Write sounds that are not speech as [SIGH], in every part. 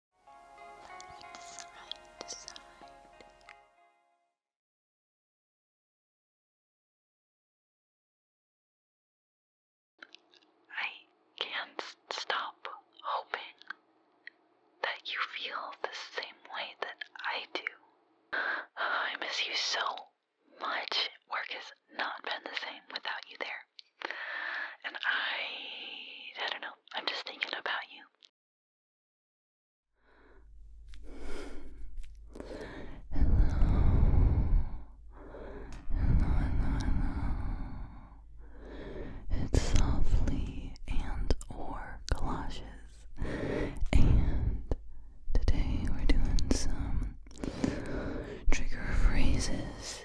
I can't stop hoping that you feel the same way that I do. [SIGHS] I miss you so much. Work has not been the same without you there. And I. I don't know. I'm just thinking about you. Hello. Hello, hello, It's softly and or galoshes. And today we're doing some trigger phrases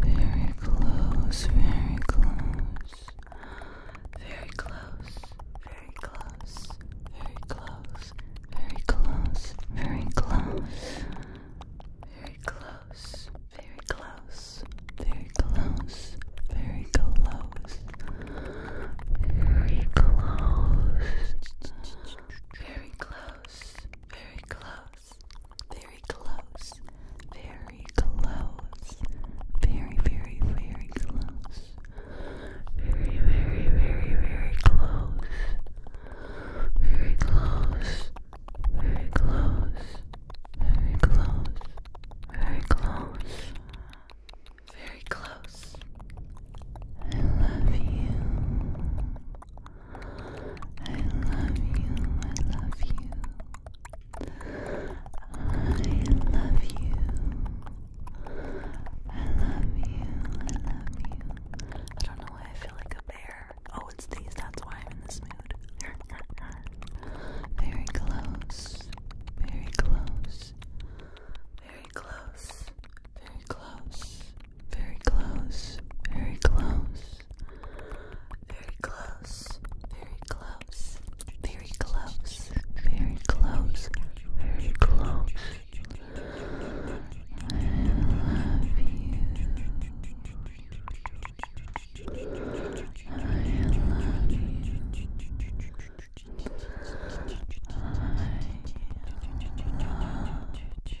very close, very close. Very close, very close. Very close, very close, very close. Very close, very close. Very close, very close. Very close. Very close, very close close, very close, very close, very, very, very close, very, very, very, very close, very close, very close, very close, very close, very close. I love you. I love you, I love you. I love you. I love you, I love you. I don't know why I feel like a bear. Oh, it's these, that's why I'm in this mood. [LAUGHS] very close, very close, very close, very close, very close, very close, very close, very close, very close, very close, very close. I love you. I love you. I love you.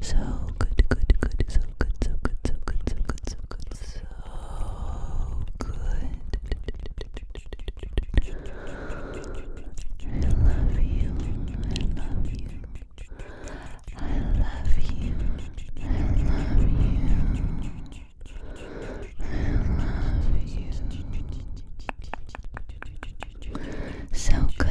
So good, good, good, so good, so good, so good, so good, so good, so good. I love you, I love you. I love you, I love you. So good,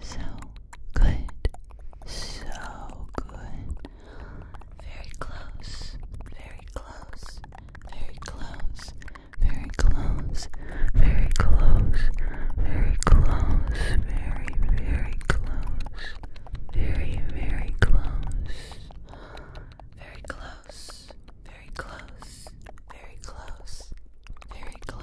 so good. So good. Very close. Very close. Very close. Very close. Very close. Very close. Very, very close. Very, very close. Very close. Very close. Very close. Very close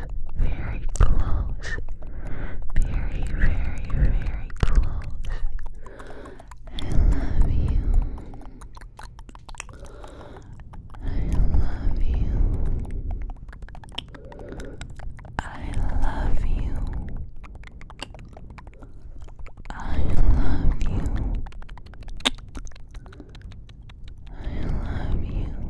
very close, very, very, very close. I love you. I love you. I love you. I love you. I love you.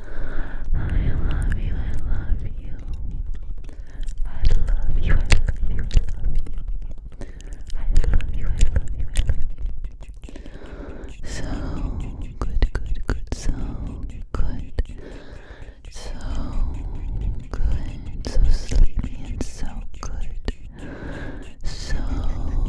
I love you, I love you. I love you, I love you, I love you. I love you, I love you, I love you. So good, good, good, so good. So good, so sleepy and so good. So good.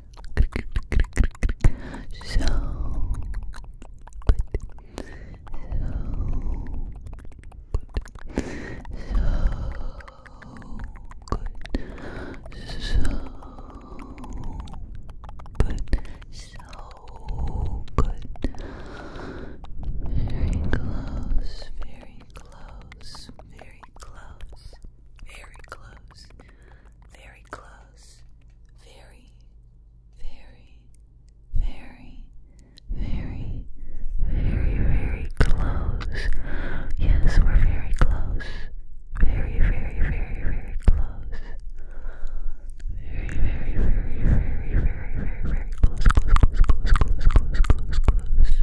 So good. So good. So good. So good. Very close. Very close. Very close. Very close. Very close. Very, very, very, very, very, very close. Yes, we're very close. Very, very, very, very close. Very, very, very, very, very, very, very close, close, close, close, close, close, close, close.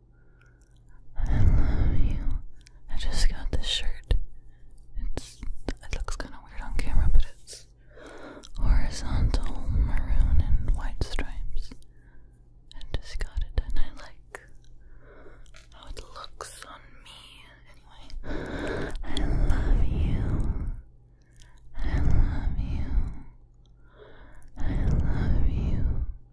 I love you. I just got this shirt. It's it looks kind of weird on camera, but it's horizontal maroon and white stripes. I just got it, and I like how it looks on me. Anyway, I love you. I love you. I love you.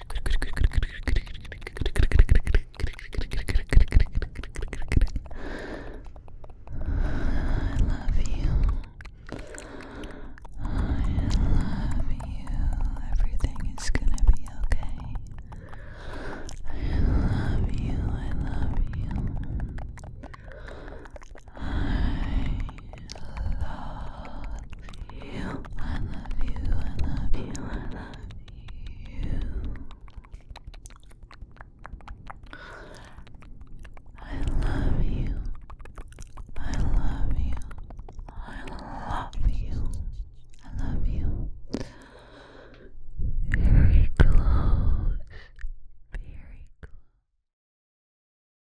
I love you. I love you. Everything is gonna be okay. I love you. I love you. I I love you. I love you. I love you. I love you. I love you. I love you. I love you. Very close. Very close.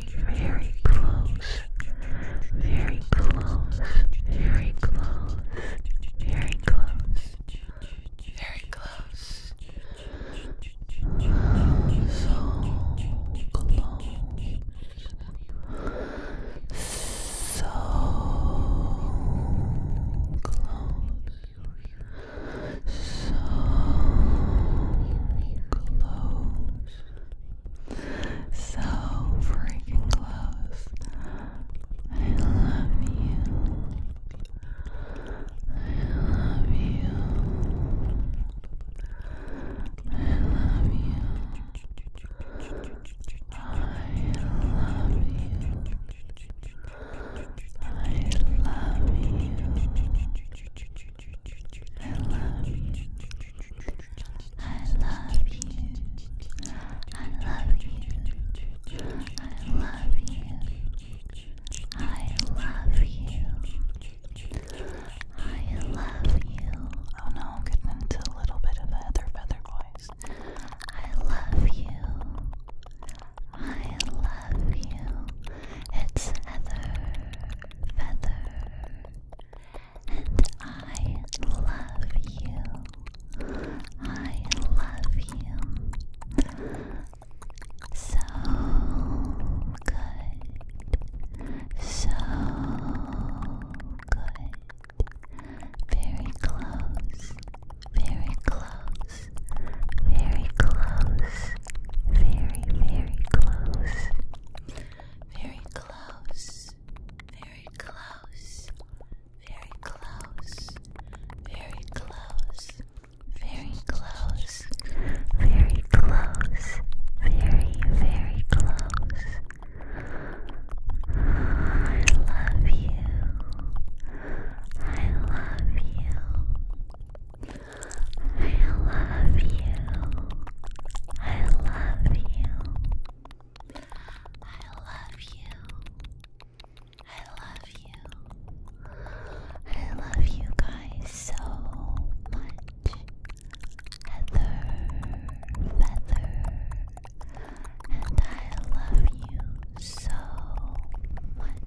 very, very close, very close, very close, very close, very close. Oh, so close. So close. So close so freaking close. I love you. I love you. I love you. I love you. I love you. I love you. I love you. I love you. I love you. I love you. I love you. Oh no, getting into a little bit of a heather feather voice. I love you. I love you. It's Heather feather, and I love you. I love you. So good. So good. Very close. Very close. Very close. Very, very close. Very close. Very close. Very close. Very close. Very close. Very close. Very, very close. I love you. I love you. I love you. I love you. I love you. I love you. I love you guys so much. Heather, Feather, and I love you so much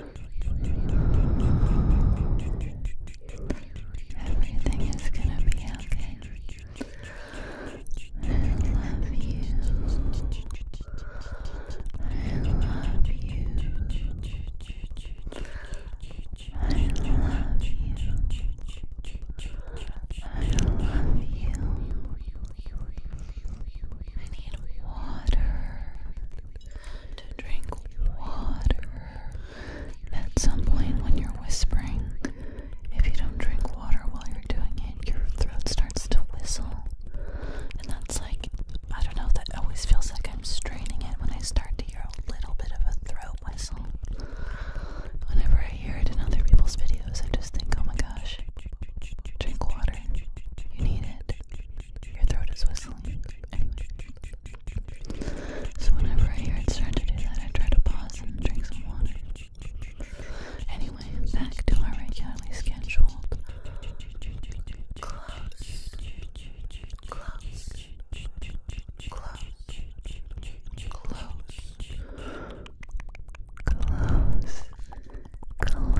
Everything is gonna be okay. I love you. I love you. I love you. I need water to drink water. At some point, when you're whispering, if you don't drink water while you're doing it, your throat starts to whistle. And that's like, I don't know, that always feels like I'm straining it when I start to hear a little bit of a throat whistle. Whenever I hear it in other people's videos, I just think, oh my gosh, drink water. You need it. Your throat is whistling. So whenever I hear it start to do that, I try to pause and drink some water. Anyway, back to our regularly scheduled close, close, close, close, close, close. Close,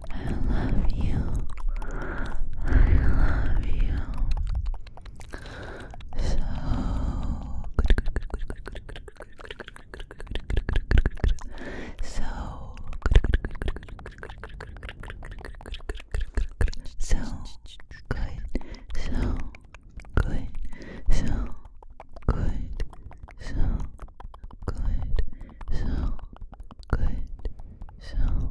I love you. I love you. So good, So good, So good, so good, so good, so good, so good,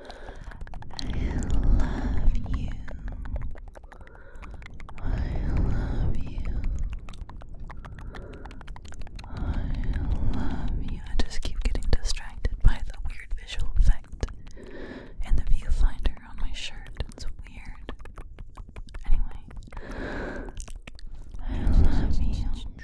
I love you. I love you. I love you. I just keep getting distracted by the weird visual effect and the viewfinder on my shirt. It's weird. Anyway, I love you.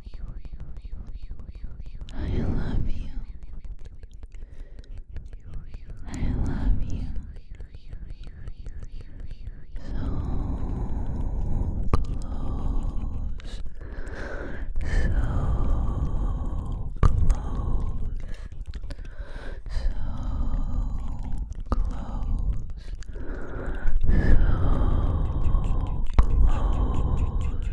I love you. I love you. So close. So close. So close. So close.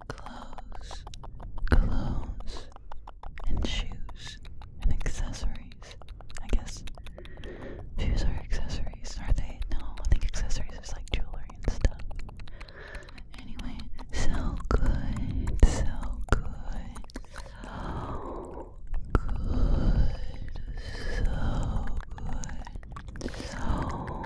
clothes, clothes, and shoes, and accessories. I guess shoes are accessories, are they? No, I think accessories is like jewelry and stuff. Anyway, so good, so good, so good, so good, so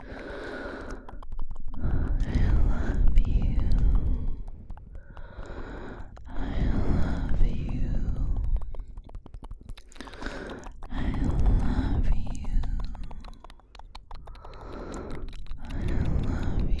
I love you. I love you. I love you. I love you. I love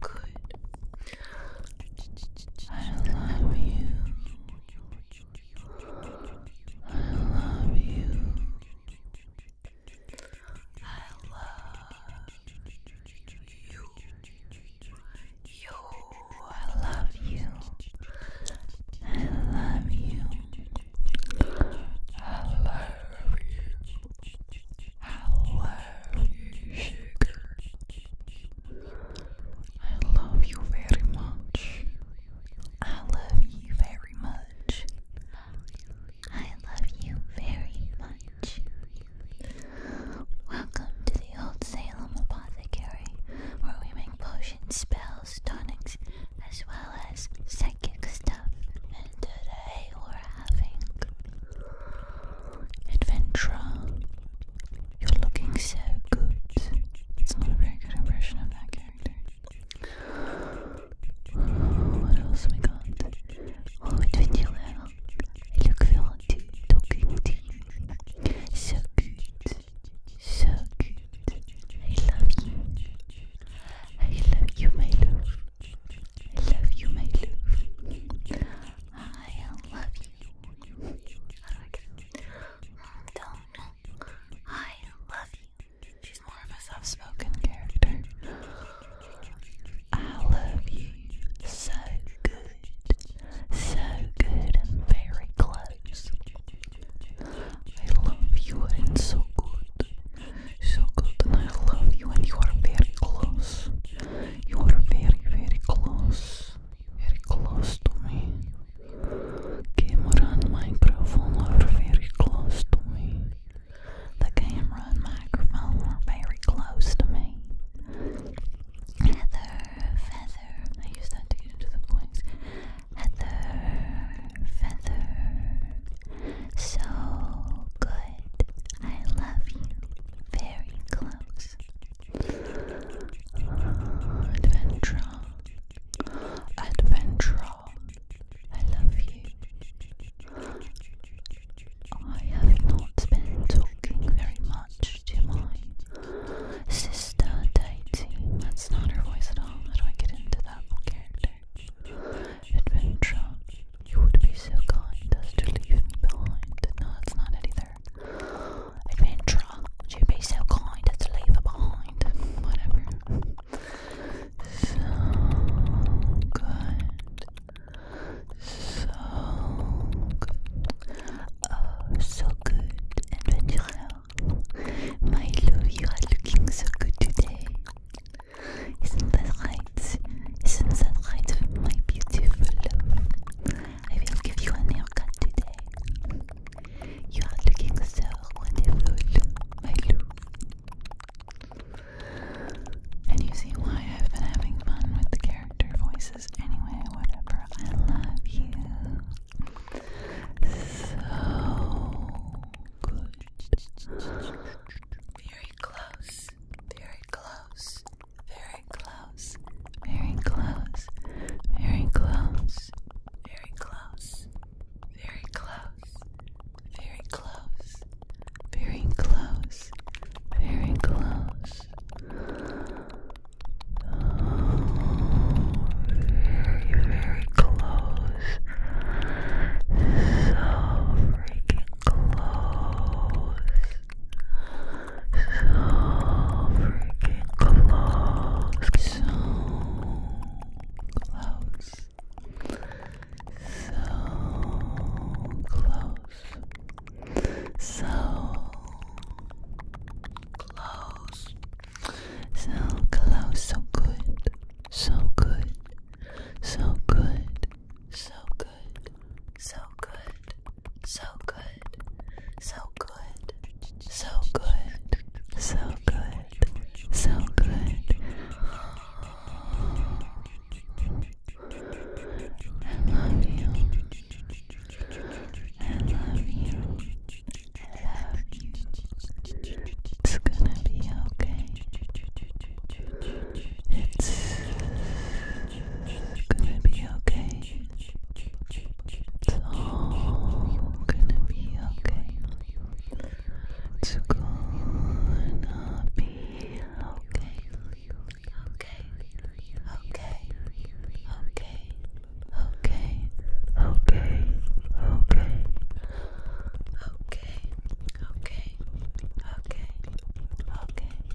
good. I love you. I love you. I love you. You, I love you. I love you. I love you. I love you. Hello, sugar. I love you very much. I love you very much. I love you very much. Welcome to the Old Salem Apothecary, where we make potions, spells, tonics, as well as psychic stuff. And today we're having Adventurer. You're looking so good. It's not a very good impression of that character. what else we got? Oh, Twitty Little. I look forward talking to you. So good. So good. I love you. I love you, my love. I love you, my love. I love you. Don't. I love you. She's more of a soft spoken character. I love you. So good. So good and very close. I love you and so good. So good and I love you and you are very close. You are very, very close. Very close to me. Camera and microphone are very close to me. The camera and microphone are very close to me. Heather, feather. I use that to get into the voice. Heather, feather. So good. I love you. Very close. Adventure. Adventure. I love you. I have not been talking very much to my sister dating. That's not her voice at all. How do I get into that character? Adventure. You would be so kind as to leave me behind. No, that's not either adventurer. She'd be so kind as to leave her behind. Whatever. So good. So good. Oh, so good, adventurer. My love, you are looking so good today. Isn't that right? Isn't that right, my beautiful love? I will give you a haircut today. You are looking so wonderful, my Lou. And you see why I've been having fun with the character voices anyway, whatever. I love you. So Very close. Very close. Very close. Very close. Very close. Very close. Very close. Very close. Very close. Very close. Oh, very, very close. So freaking close so freaking close, so close, so close, so close, so close, so good, so good, so good, so good, so good, so good, so good, so good, so good, so good. I love It's gonna be okay. It's gonna be okay. It's all gonna be okay. It's gonna be okay. Okay. Okay. Okay. Okay. Okay. Okay. Okay. Okay. Okay. Okay.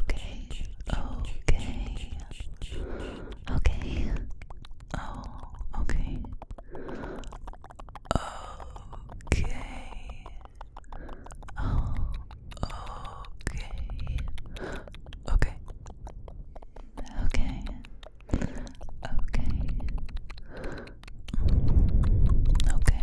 Okay. Okay. Okay. Oh, okay. Okay. Oh, okay. Okay. Okay. Okay. okay.